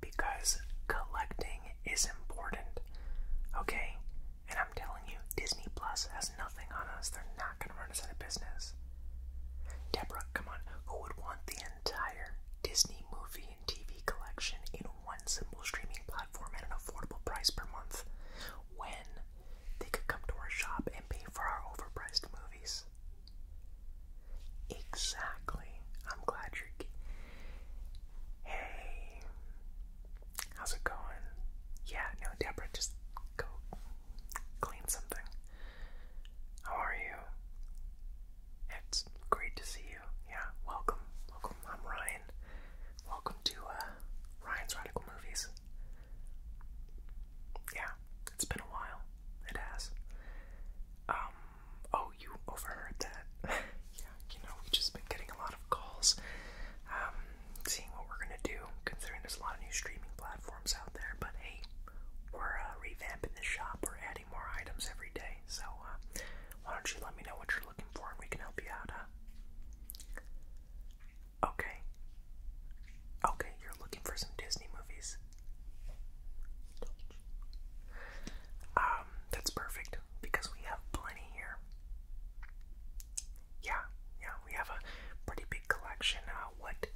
Because collecting is important, okay? And I'm telling you, Disney Plus has nothing on us. They're not going to run us out of business. Deborah, come on. Who would want the entire Disney movie and TV collection in one simple streaming platform at an affordable price per month when they could come to our shop and pay for our overpriced movies? Exactly. I'm glad you're. Hey, how's it going? Yeah, no, Deborah, just go clean something. How are you? It's great to see you. Yeah, welcome, welcome. I'm Ryan. Welcome to uh, Ryan's Radical Movies. Yeah, it's been a while. It has. Um, Oh, you overheard that? yeah, you know, we've just been getting a lot of calls, um, seeing what we're gonna do, considering there's a lot of new streaming platforms out there. But hey, we're uh, revamping the shop, we're adding more items every day. So, uh, why don't you let me know what you're looking for and we can help you out, huh? Okay. Okay, you're looking for some Disney movies. Um, that's perfect because we have plenty here. Yeah, yeah, we have a pretty big collection. Uh, what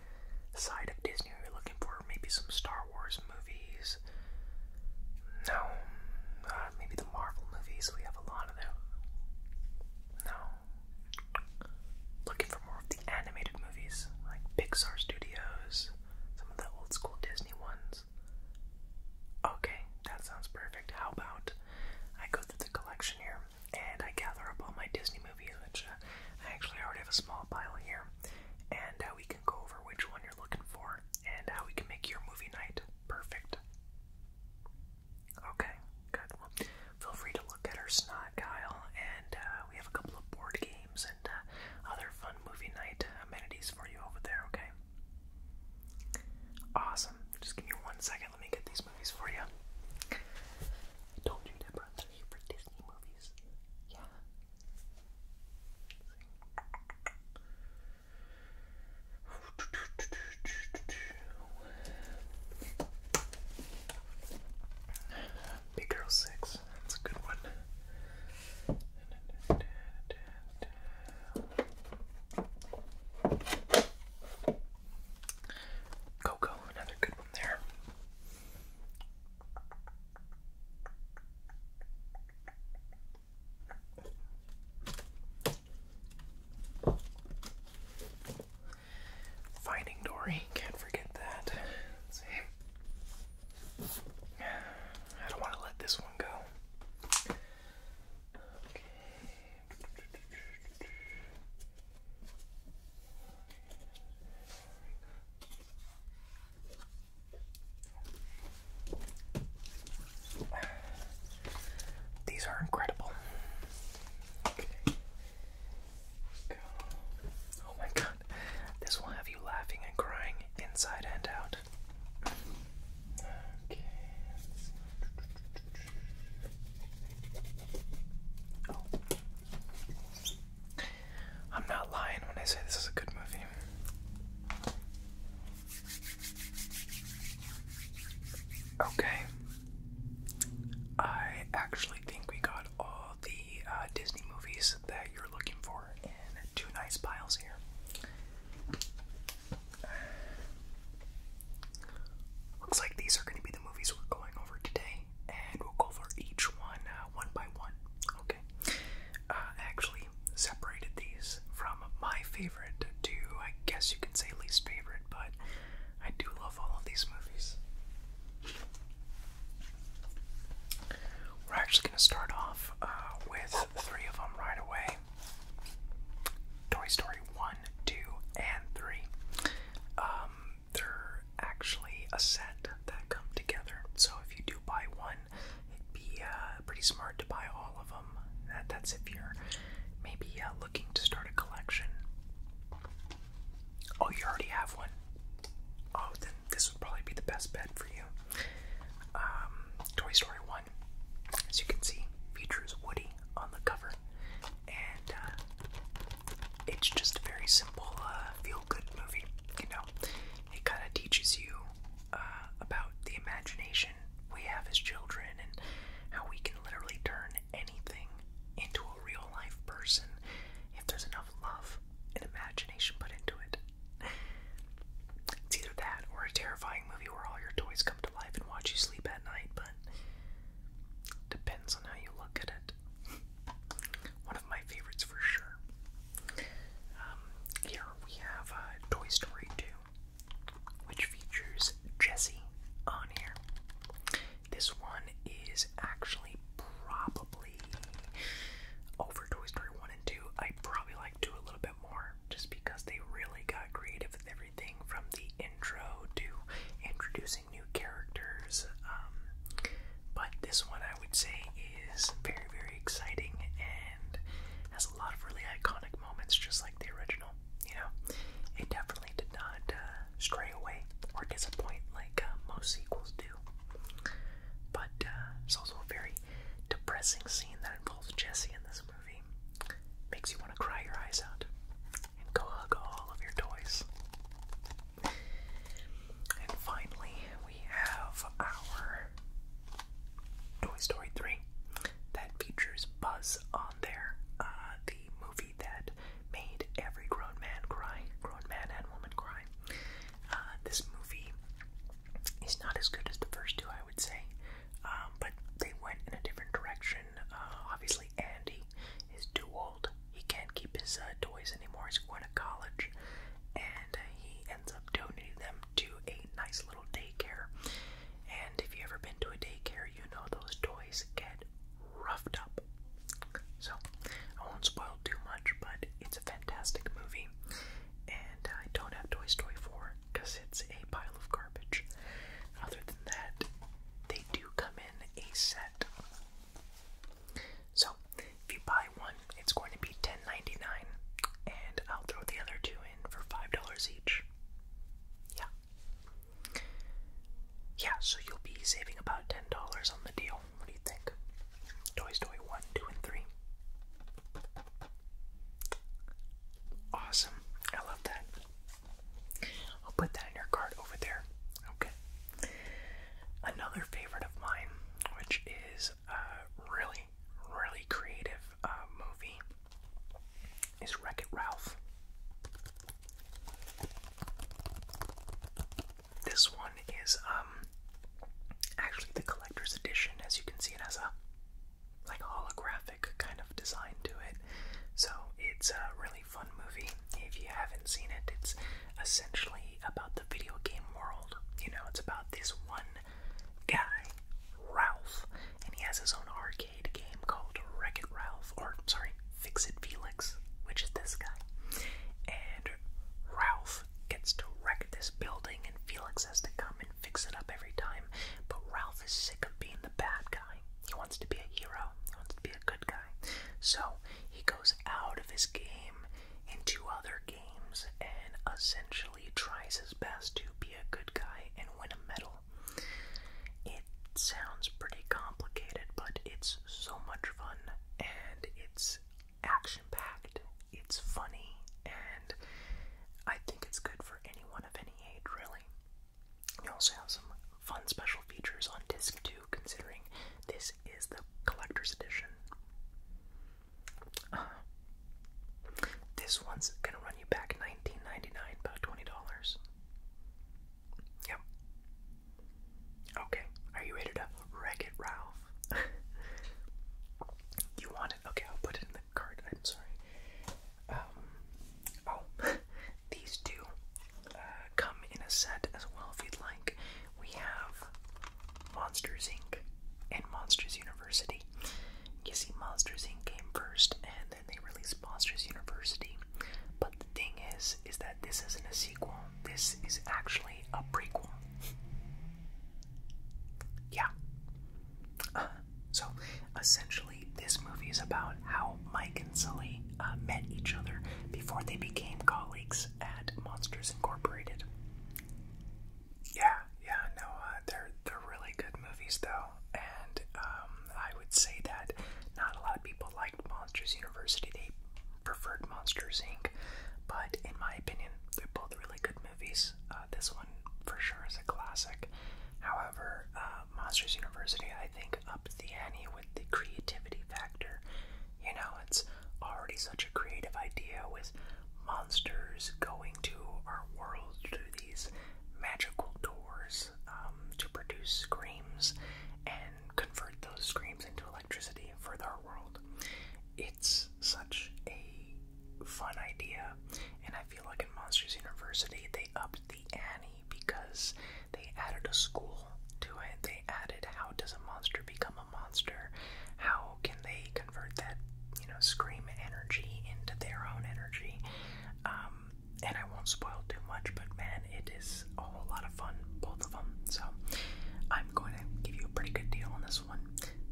side of Disney are you looking for? Maybe some Star Wars movies? No. Uh, maybe the Marvel movies. We have a lot of them. No. Looking for more of the animated movies, like Pixar Studios, some of the old school Disney ones. Okay, that sounds perfect. How about I go through the collection here and I gather up all my Disney movies, which uh, I actually already have a small pile here, and uh, we can go over which one you're looking for and how we can make your movie night perfect. Okay, good. feel free to look at our snot, Kyle, and uh, we have a couple of board games uh, other fun movie night amenities for you over there, okay? Awesome. Just give me one second. Let me get these movies for you. I told you, Deborah, they're here for Disney movies. Yeah. Big Girl 6. That's a good one. Coco, another good one there. Finding Dory, can't forget that. I don't want to let this one go. These are incredible. Oh my god. This will have you laughing and crying inside and out. Okay. I'm not lying when I say this is a good movie. Okay. I actually think we got all the uh, Disney movies that you're looking for in two nice piles here. Looks like these are going to be the movies we're going over today, and we'll go over each one uh, one by one. Okay. Uh, actually separated these from my favorite to, I guess you can say, least favorite, but I do love all of these movies. We're actually going to start off uh, with three of them right away Toy Story 1, 2, and 3. Um, they're actually a set that come together, so if you do buy one, it'd be uh, pretty smart to buy all of them. that's if you're maybe uh, looking to start a collection. Oh, you already have one? Oh, then this would probably be the best bet for you. Um, Toy Story 1, as you can see, features Woody on the cover, and uh, it's just a very simple uh, feel good movie. You know, it kind of teaches you uh, about the imagination we have as children and how we can literally turn anything into a real life person if there's enough love and imagination put into it. It's either that or a terrifying movie where all your toys come to life and watch you sleep at night, but depends on how you look at it. One of my favorites for sure. Um, here we have uh, Toy Story 2, which features Jessie on here. This one is actually probably over Toy Story 1 I probably like do a little bit more just because they really got creative with everything from the intro to introducing new characters. Um, but this one I would say is very, very exciting and has a lot of really iconic moments, just like the original. You know, it definitely did not uh, stray away or disappoint like uh, most sequels do. But uh, it's also a very depressing scene that involves Jesse in this movie. Makes you want to cry your eyes out and go hug all of your toys. And finally, we have our Toy Story 3 that features Buzz on there. Uh, the movie that made every grown man cry, grown man and woman cry. Uh, this movie He's not as good as the first two, I would say, um, but they went in a different direction. Uh, obviously, Andy is too old. He can't keep his uh, toys anymore. He's going to college, and uh, he ends up donating them to a nice little daycare. And if you've ever been to a daycare, you know those toys get roughed up. So, I won't spoil too much, but it's a fantastic movie. And I don't have Toy Story 4 because it's a pile of garbage. Other than that, they do come in a set. So if you buy one, it's going to be $10.99, and I'll throw the other two in for $5 each. Yeah. Yeah, so you'll be saving about $10 on the deal. What do you think? Toy Story 1, 2, and 3. Awesome. I love that. I'll put that in your card over there. Okay. Another favorite of mine, which is a really, really creative uh, movie, is Wreck It Ralph. This one is um actually the collector's edition, as you can see, it has a like holographic kind of design to it. So it's a really fun movie. If you haven't seen it, it's essentially about the video game world. You know, it's about this one guy, Ralph, and he has his own arcade game called Wreck It Ralph, or sorry, Fix It Felix, which is this guy. And Ralph gets to wreck this building, and Felix has to come and fix it up every time. But Ralph is sick of being the bad guy. He wants to be a hero. He wants to be a good guy. So he goes out of his game into other games and essentially tries his best to be a good guy and win a medal. It sounds pretty complicated, but it's so much fun and it's action packed it's funny, and I think it's good for anyone of any age, really. You also have some fun special features on disc 2, considering this is the collector's edition. Uh, this one's gonna run you back $19.99, about $20. Yep. Okay, are you ready to wreck it, Ralph? you want Okay, I'll put it in the cart. I'm sorry. Um, oh, these two uh, come in a set as well if you'd like. We have Monsters Inc. and Monsters University. You see, Monsters Inc. came first, and then they released Monsters University. But the thing is, is that this isn't a sequel. This is actually a prequel. Yeah. so essentially, this movie is about how Mike and Sully uh, met each other before they became colleagues at Monsters Incorporated. Yeah, yeah, no, uh, they're they're really good movies though, and um, I would say that not a lot of people liked Monsters University. They preferred Monsters Inc. But in my opinion, they're both really good movies. Uh, this one for sure is a classic. However, uh, Monsters University, I think, up the ante with the creativity factor. You know, it's already such a creative idea with monsters going to our world through these magical doors um, to produce screams and convert those screams into electricity for their world it's such a fun idea, and I feel like in Monsters University they upped the ante because they added a school to it. They added how does a monster become a monster? How can they convert that, you know, scream energy into their own energy? Um, and I won't spoil too much, but man, it is a whole lot of fun, both of them. So I'm going to give you a pretty good deal on this one.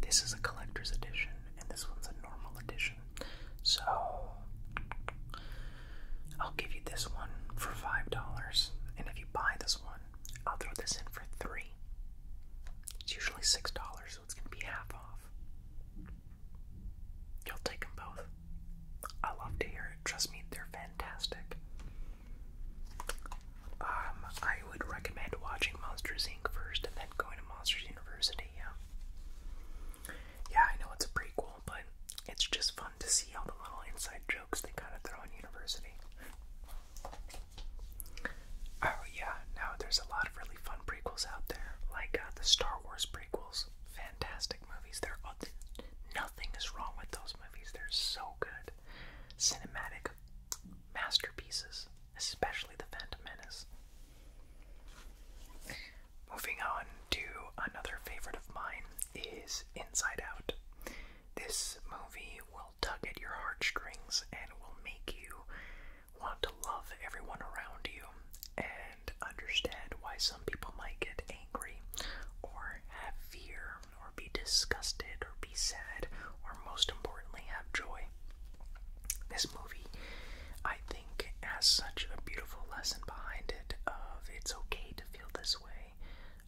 This is a collector's edition and this one's a normal edition. So I'll give you this one for five dollars, and if you buy this one, I'll throw this in for three. It's usually six dollars, so it's gonna be half off. You'll take them both. I love to hear it. Trust me, they're fantastic. Um, I would recommend watching Monsters Inc. first and then going to Monsters University, yeah. Yeah, I know it's a prequel, but it's just fun to see all the little inside jokes they kind of throw in University. Oh, yeah, no, there's a lot of really fun prequels out there, like uh, the Star Wars prequels. Fantastic movies. They're, nothing is wrong with those movies. They're so good. Cinematic masterpieces, especially The Phantom Menace. Moving on to another favorite of mine is Inside Out. This movie will tug at your heartstrings and will make you want to love everyone around you and understand why some people might get angry or have fear or be disgusted or be sad or most importantly have joy. This movie, I think, has such a beautiful lesson behind it of it's okay to feel this way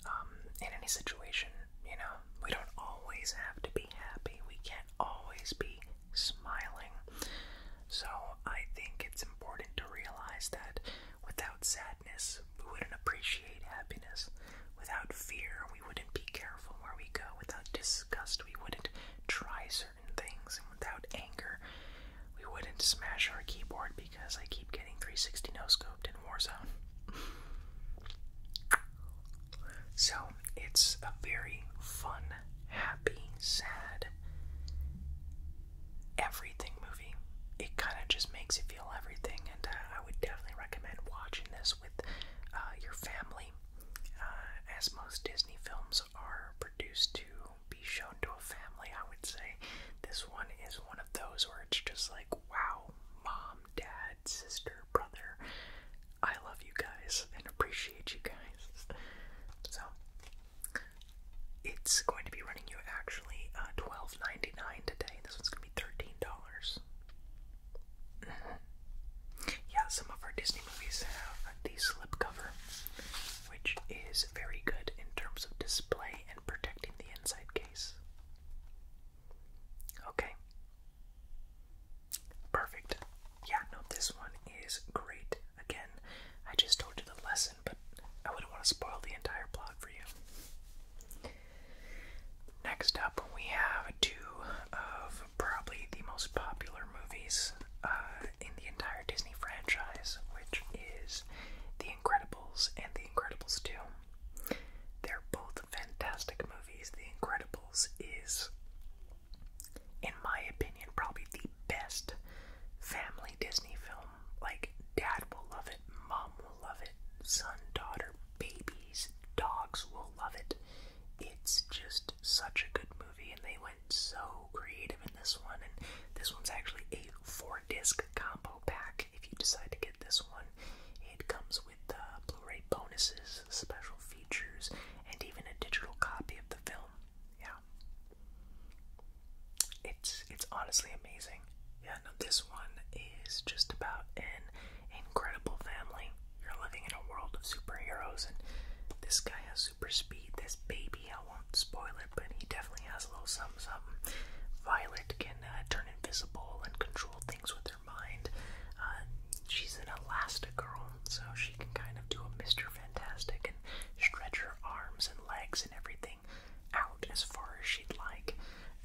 um, in any situation. You know, we don't always have to be happy. We can't always be smiling. So I think it's important to realize that without sadness, we wouldn't appreciate happiness. Without fear, we wouldn't be careful where we go. Without dis we wouldn't try certain things, and without anger, we wouldn't smash our keyboard because I keep getting 360 no scoped in Warzone. So, it's a very fun, happy, sad, everything movie. It kind of just makes you feel everything, and uh, I would definitely recommend watching this with uh, your family uh, as most Disney films are produced to be shown to a family, I would say this one is one of those where it's just like, wow, mom, dad, sister, brother, I love you guys and appreciate you guys. So it's going to be running you actually uh, $12.99 today. This one's going to be $13. Yeah, some of our Disney movies have the slipcover, which is very good in terms of display and protecting the inside case. Okay. Perfect. Yeah, no, this one is great. Again, I just told you the lesson, but I wouldn't want to spoil the entire plot for you. Next up, we have two of probably the most popular movies uh, in the entire Disney franchise, which is The Incredibles and The Incredibles 2. They're both fantastic movies. The Incredibles is, in my opinion, probably the best family Disney film. Like, dad will love it, mom will love it, son, daughter, babies, dogs will love it. It's just such a good movie, and they went so creative in this one. And this one's actually a four disc combo pack. If you decide to get this one, it comes with uh, Blu ray bonuses, special features, and even a digital copy of the film. Yeah. It's it's honestly amazing. Yeah, no, this one is just about an incredible family you're living in a world of superheroes, and this guy has super speed. This baby, I won't spoil it, but he definitely has a little something something. Violet can uh, turn invisible and control things with her mind. Uh, she's an elastic girl, so she can kind of do a Mr. Fantastic and stretch her arms and legs and everything out as far as she'd like.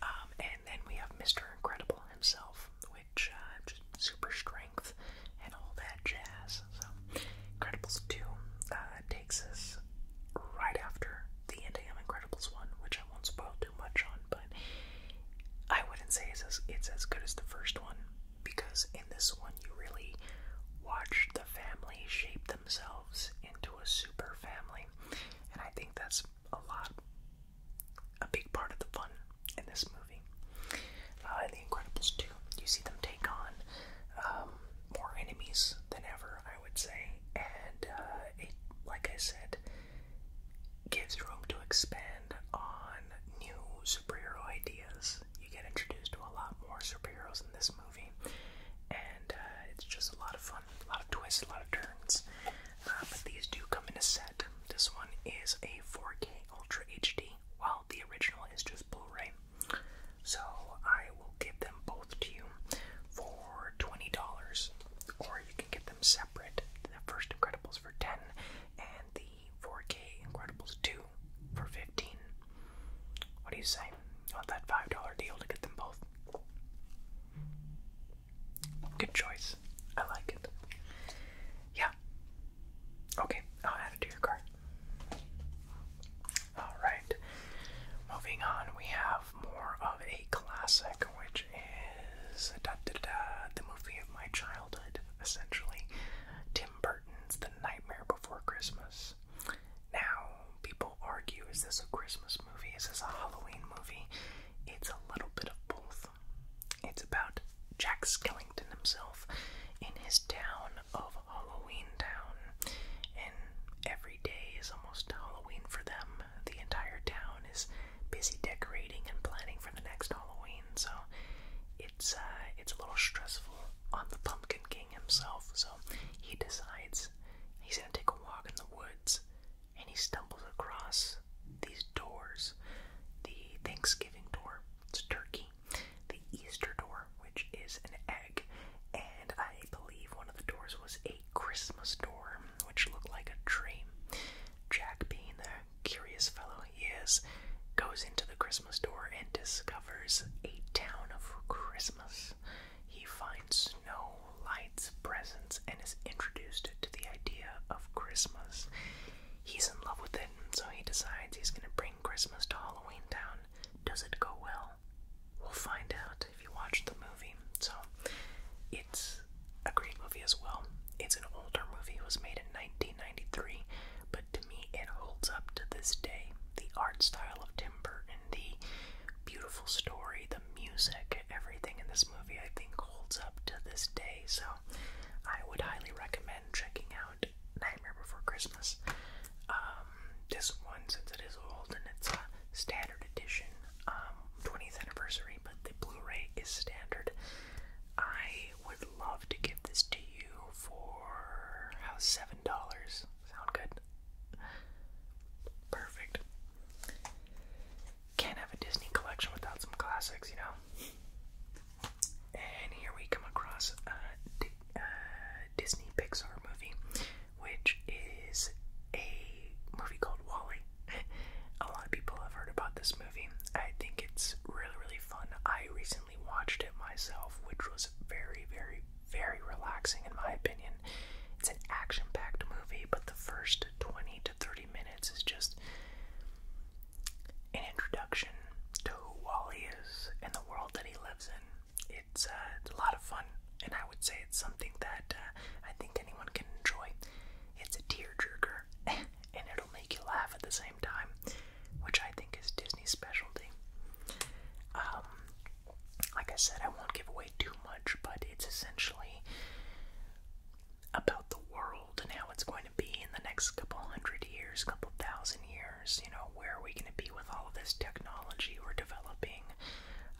Um, and then we have Mr. Incredible himself, uh, super strength and all that jazz. So, Incredibles 2 uh, takes us right after the end of Incredibles 1, which I won't spoil too much on, but I wouldn't say it's as, it's as good as the first one because in this one you really watch the family shape themselves into a super family, and I think that's a lot, a big part of the fun in this movie. in uh, The Incredibles 2, you see them take on um, more enemies than ever, I would say, and uh, it, like I said, gives room to expand on new superhero ideas. You get introduced to a lot more superheroes in this movie, and uh, it's just a lot of fun, a lot of twists, a lot of turns. but these do come in a set. This one is a 4K Ultra HD well, the original is just Blu-ray. So I will give them both to you for twenty dollars, or you can get them separate. The first Incredibles for ten, and the 4K Incredibles two for fifteen. What do you say? You that five dollar deal to get them both? Good choice. I like it. Yeah. Okay, I'll add it to your cart. Alright. Moving on, we have more of a classic, which is da, da, da, the movie of my childhood, essentially. Tim Burton's The Nightmare Before Christmas. Now, people argue is this a Christmas movie? Is this a Halloween movie? It's a little bit of both. It's about Jack Skellington himself in his town of Halloween Town. And every day is almost Halloween for them. The entire town is busy decorating and planning for the next Halloween, so it's uh, it's a little stressful on the Pumpkin King himself, so he decides he's gonna take a walk in the woods and he stumbles across these doors. The Thanksgiving door. It's turkey the Easter door, which is an egg, and I believe one of the doors was a Christmas door, which looked like a dream. Jack, being the curious fellow he is, goes into the Christmas door and discovers a town of Christmas. He finds snow, lights, presents, and is introduced to the idea of Christmas. He's in love with it, so he decides he's gonna bring Christmas to Halloween Town. Does it go well? We'll find out if you watch the movie. So, it's a great movie as well. It's an older movie, it was made in 1993, but to me, it holds up to this day. The art style of Tim Burton, the beautiful story, the music, everything in this movie, I think, holds up to this day. So, I would highly recommend checking out Nightmare Before Christmas. Um, this one, since it is old and it's a standard edition, 20th um, anniversary, but the Blu-ray is standard. I would love to give this to you for how seven dollars. Sound good? Perfect. Can't have a Disney collection without some classics, you know. And here we come across a Disney Pixar movie, which is a movie called Wally. a lot of people have heard about this movie. I think it's really, really fun. I recently watched it myself, which was very, very, very relaxing in my opinion. It's an action packed movie, but the first 20 to 30 minutes is just an introduction to who Wally is and the world that he lives in. It's, uh, it's a lot of fun, and I would say it's something that uh, I think anyone can enjoy. It's a tearjerker, and it'll make you laugh at the same time, which I think is Disney's specialty. Um, like I said, I won't give away too much, but it's essentially about the world and how it's going going to be in the next couple hundred years, couple thousand years? You know, where are we going to be with all of this technology we're developing?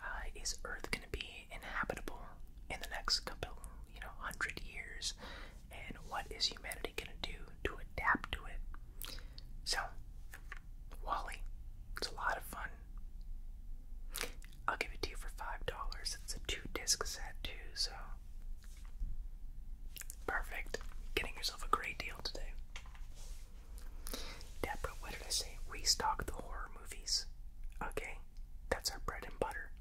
Uh, is Earth going to be inhabitable in the next couple, you know, hundred years? And what is humanity going to do to adapt to it? So, Wally, it's a lot of fun. I'll give it to you for five dollars. It's a two disc set too, so Perfect. Getting yourself a great deal today. Deborah, what did I say? Restock the horror movies. Okay, that's our bread and butter.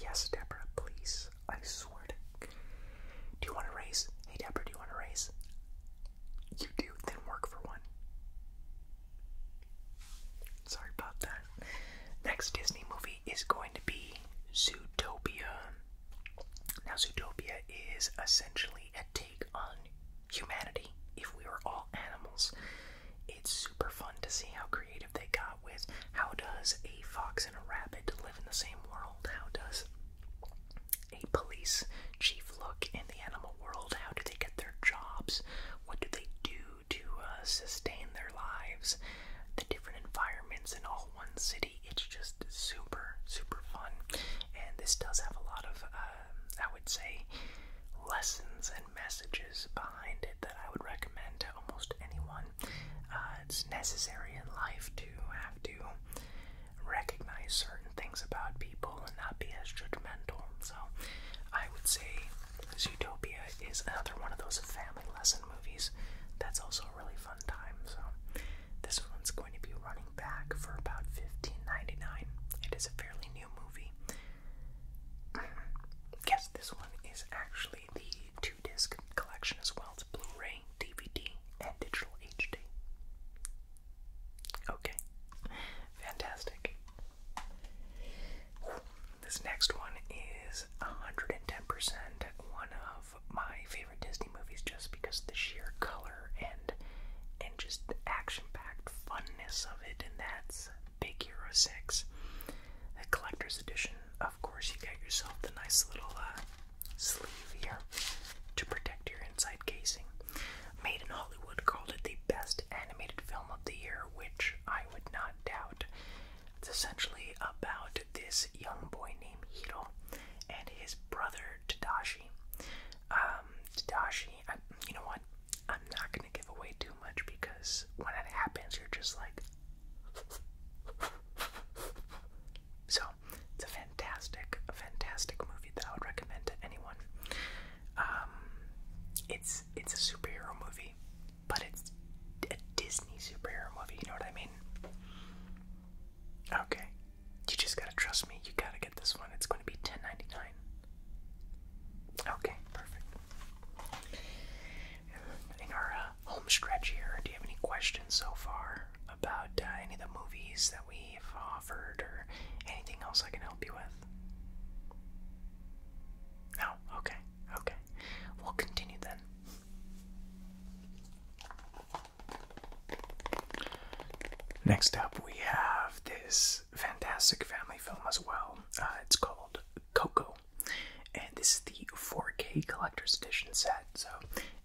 Yes, Deborah, please. I swear to. Do you want to race? Hey, Deborah, do you want to race? You do, then work for one. Sorry about that. Next Disney movie is going to be Zootopia. Now, Zootopia is essentially a take on humanity if we were all animals. It's super fun to see how creative they got with how does a fox and a rabbit live in the same world? How does a police chief look in the animal world? How do they get their jobs? What do they do to uh, sustain their lives? The different environments in all one city it's just super, super fun. And this does have a lot of, uh, I would say, lessons and messages behind it that I would recommend to almost anyone. Uh, it's necessary in life to have to recognize certain things about people and not be as judgmental. So I would say Utopia is another one of those family lesson movies that's also really fun time. So this one's going to be running back for about $15.99. It is a fairly new movie. Yes, this one is actually the two-disc collection as well. It's Blu-ray, DVD, and digital HD. Okay, fantastic. This next one is 110% one of my favorite Disney movies just because the sheer color and and just action-packed funness of it, and that's Big Hero 6. The collector's edition, of course, you got yourself the nice little uh, sleeve here to protect your inside casing. Made in Hollywood called it the best animated film of the year, which I would not doubt. It's essentially about this young boy named Hito and his brother Tadashi. Um, Tadashi, you know what? I'm not gonna give away too much because when it happens, you're just like. So, it's a fantastic, fantastic movie that I would recommend to anyone. Um, it's it's a superhero movie, but it's a Disney superhero movie. You know what I mean? Okay. You just gotta trust me. You gotta get this one. It's gonna be ten ninety nine. Okay, perfect. In our uh, home stretch here, do you have any questions so far about uh, any of the movies that we've offered or anything else I can help you with? No? Okay, okay. We'll continue then. Next up, we have this fantastic family film as well. Uh, it's called Coco, and this is the 4K collector's edition set. So,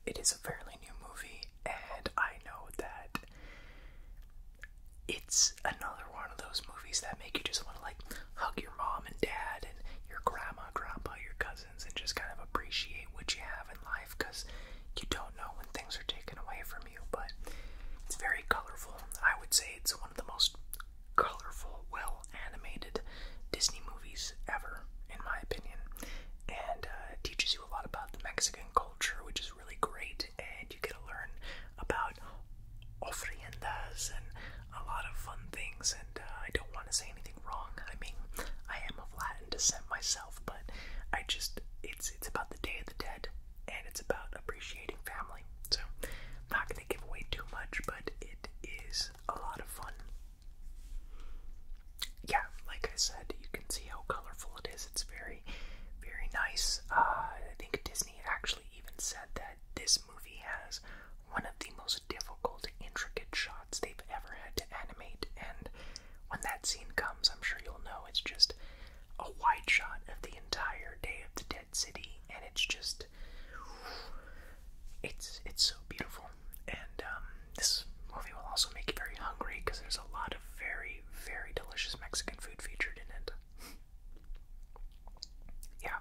it is a fairly new movie, and I know that it's another one of those movies that make you just want to like hug your mom and dad and your grandma, grandpa, your cousin 2000s and just kind of appreciate what you have in life because you don't know when things are taken away from you. But it's very colorful. I would say it's one of the most colorful, well animated Disney movies ever, in my opinion. And uh, it teaches you a lot about the Mexican culture, which is really great. And you get to learn about ofriendas and a lot of fun things. And uh, I don't want to say anything wrong. I mean, I am of Latin descent myself, but I just it's it's about the Day of the Dead and it's about appreciating family. So, I'm not going to give away too much, but it is a lot of fun. Yeah, like I said, you can see how colorful it is. It's very, very nice. Uh, I think Disney actually even said that this movie has one of the most difficult, intricate shots they've ever had to animate. And when that scene comes, I'm sure you'll know it's just a wide shot of the entire day of the dead city, and it's just it's it's so beautiful. And um, this movie will also make you very hungry because there's a lot of very very delicious Mexican food featured in it. yeah.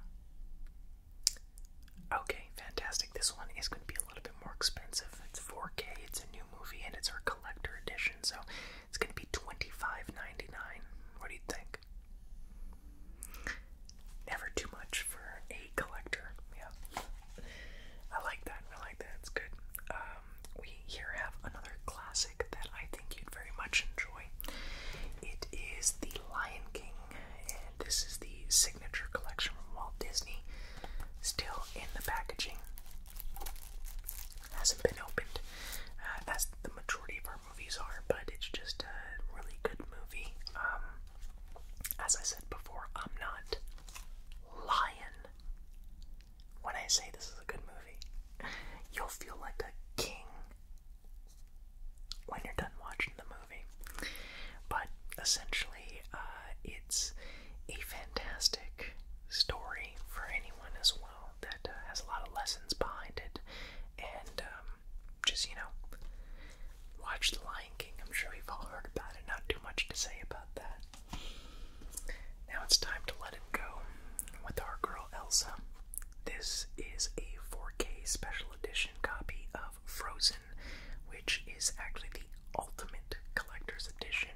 Okay, fantastic. This one is going to be a little bit more expensive. It's 4K, it's a new movie, and it's our collector edition, so it's going to be $25.99. What do you think? Never too much for a collector. Yeah. I like that. I like that. It's good. Um, we here have another classic that I think you'd very much enjoy. It is The Lion King, this is the signature collection from Walt Disney. Still in the packaging. Hasn't been opened, uh, as the majority of our movies are, but it's just a really good movie. Um, as I said before, I'm not lying when I say this is a good movie. You'll feel like a king when you're done watching the movie. But essentially, uh, it's a fantastic story for anyone as well that uh, has a lot of lessons behind it. And um, just, you know, watch The Lion King. I'm sure we've all heard about it. Not too much to say about that. Now it's time to let it go with our girl Elsa. This is a 4K special edition copy of Frozen, which is actually the ultimate collector's edition.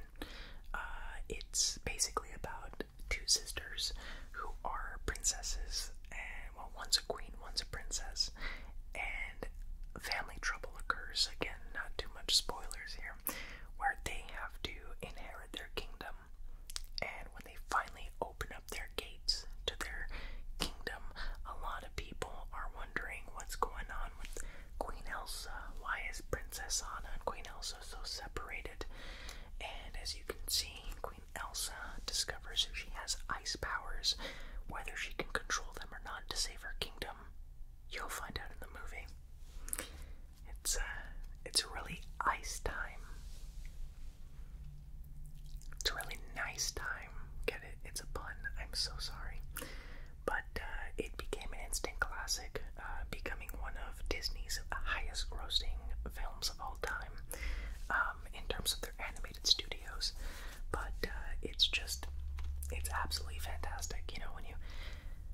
Uh, it's basically about two sisters who are princesses, and well, one's a queen, one's a princess, and family trouble occurs again. Not too much spoilers here, where they have to inherit their kingdom, and when they finally open up their gates to their kingdom, a lot lot people are wondering what's going on with Queen Elsa. Why is Princess Anna and Queen Elsa so separated? And as you can see, Queen Elsa discovers if she has ice powers, whether she can control them or not to save her kingdom. You'll find out in the movie. It's uh, it's really ice time. It's a really nice time. It's a pun. I'm so sorry. But uh, it became an instant classic, uh, becoming one of Disney's highest grossing films of all time um, in terms of their animated studios. But uh, it's just, it's absolutely fantastic. You know, when you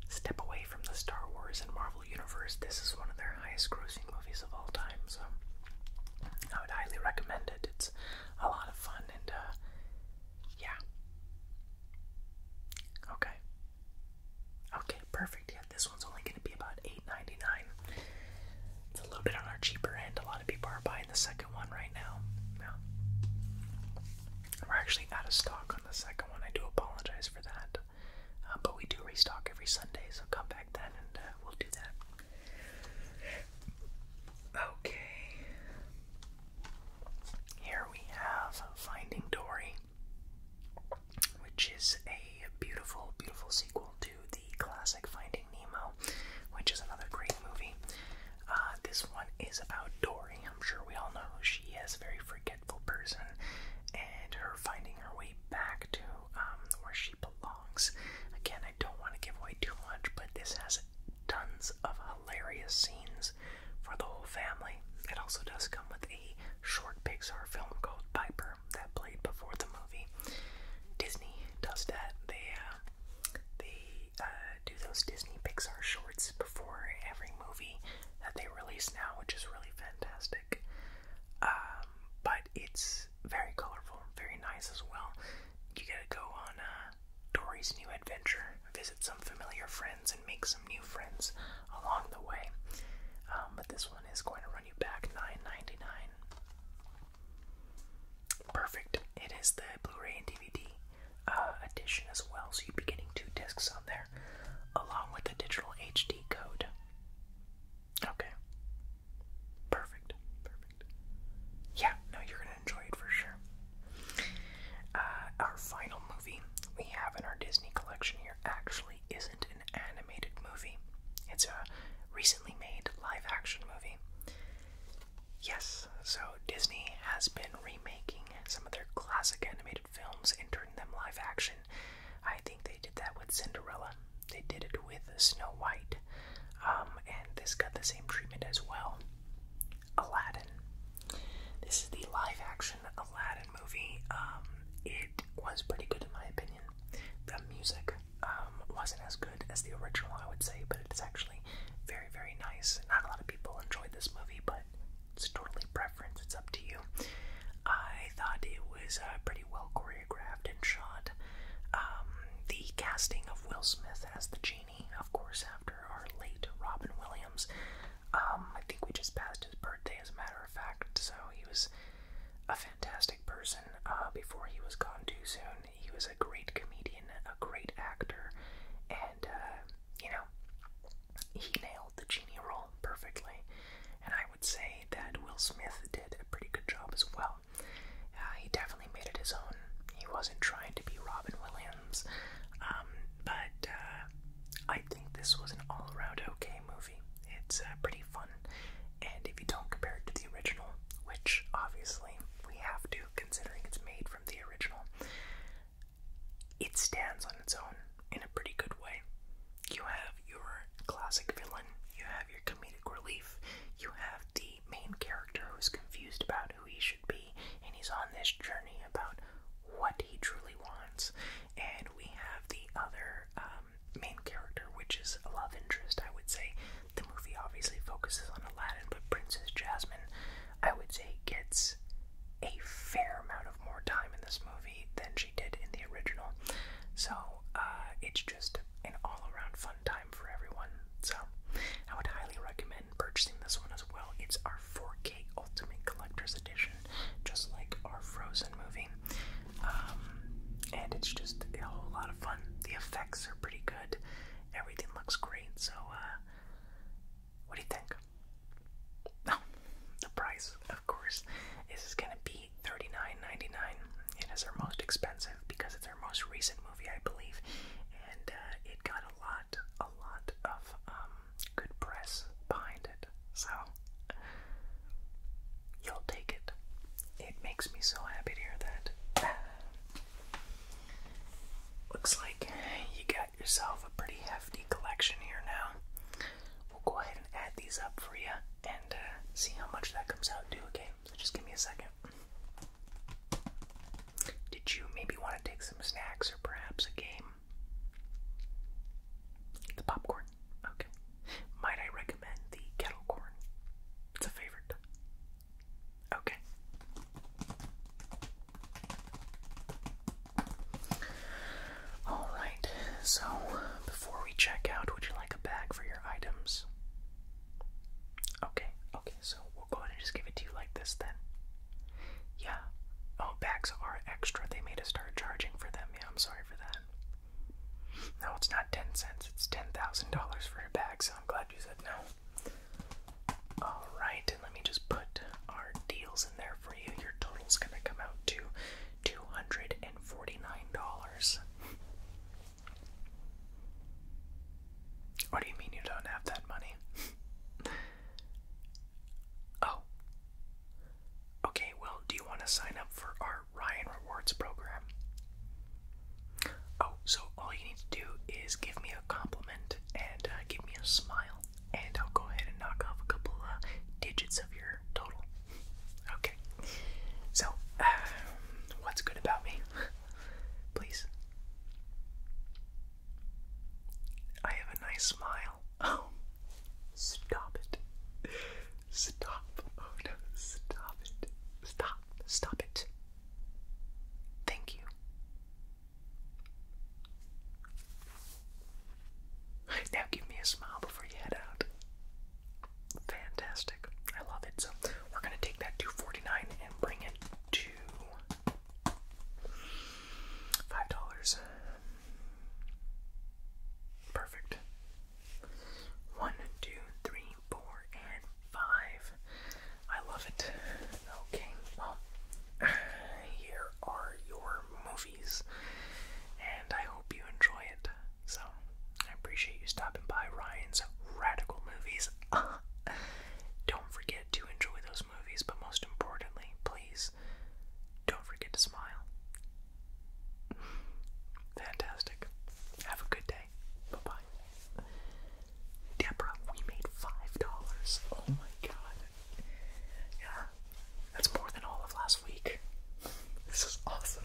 step away from the Star Wars and Marvel universe, this is one of their highest grossing movies of all time. So I would highly recommend it. It's a lot of fun and uh, yeah. Okay. Okay, perfect. Yeah, this one's only gonna be about $8.99. It's a little bit on our cheaper end. A lot of people are buying the second one right now. Yeah. We're actually out of stock on the second one. I do apologize for that. Uh, but we do restock every Sunday, so come back then and uh, we'll do that. Okay. Here we have Finding Dory, which is a beautiful, beautiful sequel to the classic Finding Nemo, which is another great movie. Uh, this one is about Dory. I'm sure we all know who she is, a very forgetful person, and her finding her way back to um, where she belongs. Again, I don't want to give away too much, but this has tons of hilarious scenes for the whole family. It also does come with a short Pixar film called Piper that played before the movie. Disney does that. They uh, they uh, do those Disney Pixar shorts before every movie that they release now, which is really fantastic. Um, but it's very colorful, very nice as well. You gotta go on uh, Tori's new adventure, visit some familiar friends, and make some new friends along the way. Um, but this one is going to run you back $9.99. Perfect. It is the Blu-ray and DVD uh, edition as well, so you'd be getting two discs on there, along with the digital HD code. Okay. Perfect. Perfect. Yeah, no, you're gonna enjoy it for sure. Uh, our final movie we have in our Disney collection here actually isn't an animated movie, it's a recently made live action movie. Yes, so Disney has been remaking some of their classic animated films and turning them live action. I think they did that with Cinderella, they did it with Snow White, um, and this got the same treatment as well. Aladdin. This is the live action Aladdin movie. Um, it was pretty good in my opinion. The music um, wasn't as good as the original, I would say, but it's actually very, very nice. Not a lot of people enjoyed this movie, but it's totally preference. It's up to you. I thought it was uh, pretty well choreographed and shot. Um, the casting of Will Smith as the genie Cheney, of course, after our late Robin Williams. Um, I think we just passed his birthday, as a matter of fact, so he was a fantastic person uh, before he was gone too soon. He was a great comedian, a great actor, and, uh, you know, he nailed the Genie role perfectly. And I would say that Will Smith did a pretty good job as well. Uh, he definitely made it his own. He wasn't trying to be Robin Williams. Um, but uh, I think this was an all around okay movie. It's uh, pretty fun, and if you don't compare it to the original, which obviously we have to considering it's made from the original, it stands on its own in a pretty good way. You have your classic villain, you have your comedic relief, you have the main character who's confused about who he should be, and he's on this journey about what he truly wants. And we have the other um, main character, which is a love interest, I would say. The movie obviously focuses on Aladdin, but Princess Jasmine, I would say, gets a fair amount of more time in this movie than she did in the original. So uh, it's just an all around fun time for everyone. So I would highly recommend purchasing this one as well. It's our 4K Ultimate Collector's Edition, just like our Frozen movie. Um, and it's just a whole lot of fun. The effects are pretty good, everything looks great. So, uh, what do you think? Oh, the price, of course, is going to be 39 is our most expensive because it's our most recent movie, I believe, and uh, it got a lot a lot of um, good press behind it. So you'll take it. It makes me so happy to hear that. Looks like you got yourself a pretty hefty collection here now. We'll go ahead and add these up for you and uh, see how much that comes out to, okay? So just give me a second. Did you maybe want to take some snacks or perhaps a game? The popcorn. Okay. Might I recommend the kettle corn? It's a favorite. Okay. All right. So, before we check out, would you like a bag for your items? Okay. Okay. So, we'll go ahead and just give it to you like this then. Yeah. Oh, bags are extra. They made us start charging for them. Yeah, I'm sorry for that. No, it's not 10 cents. It's $10,000 for a bag, so I'm glad you said no. Alright, and let me just put our deals in there for you. Your total's gonna come out to $249. What do you mean you don't have that money? Oh. Okay, well, do you want to sign up for our Ryan Rewards program? Oh, so all you need to do is give me a compliment and uh, give me a smile, and I'll go ahead and knock off a couple uh, digits of your total. Okay. So, um, what's good about me? Please. I have a nice smile. Oh, stop it. Stop. Oh no, stop it. Stop. Stop it. Thank you. Now give me a smile before you head out. Fantastic. I love it. So we're going to take that 249 and bring it to Five dollars. Perfect. One, two, three, four, and five. I love it. Okay, well, here are your movies, and I hope you enjoy it. So, I appreciate you stopping by Ryan's Radical Movies. Don't forget to enjoy those movies, but most importantly, please don't forget to smile. Fantastic. Have a good day. Bye bye. Deborah, we made $5. Oh my god. Yeah, that's more than all of last week. This is awesome.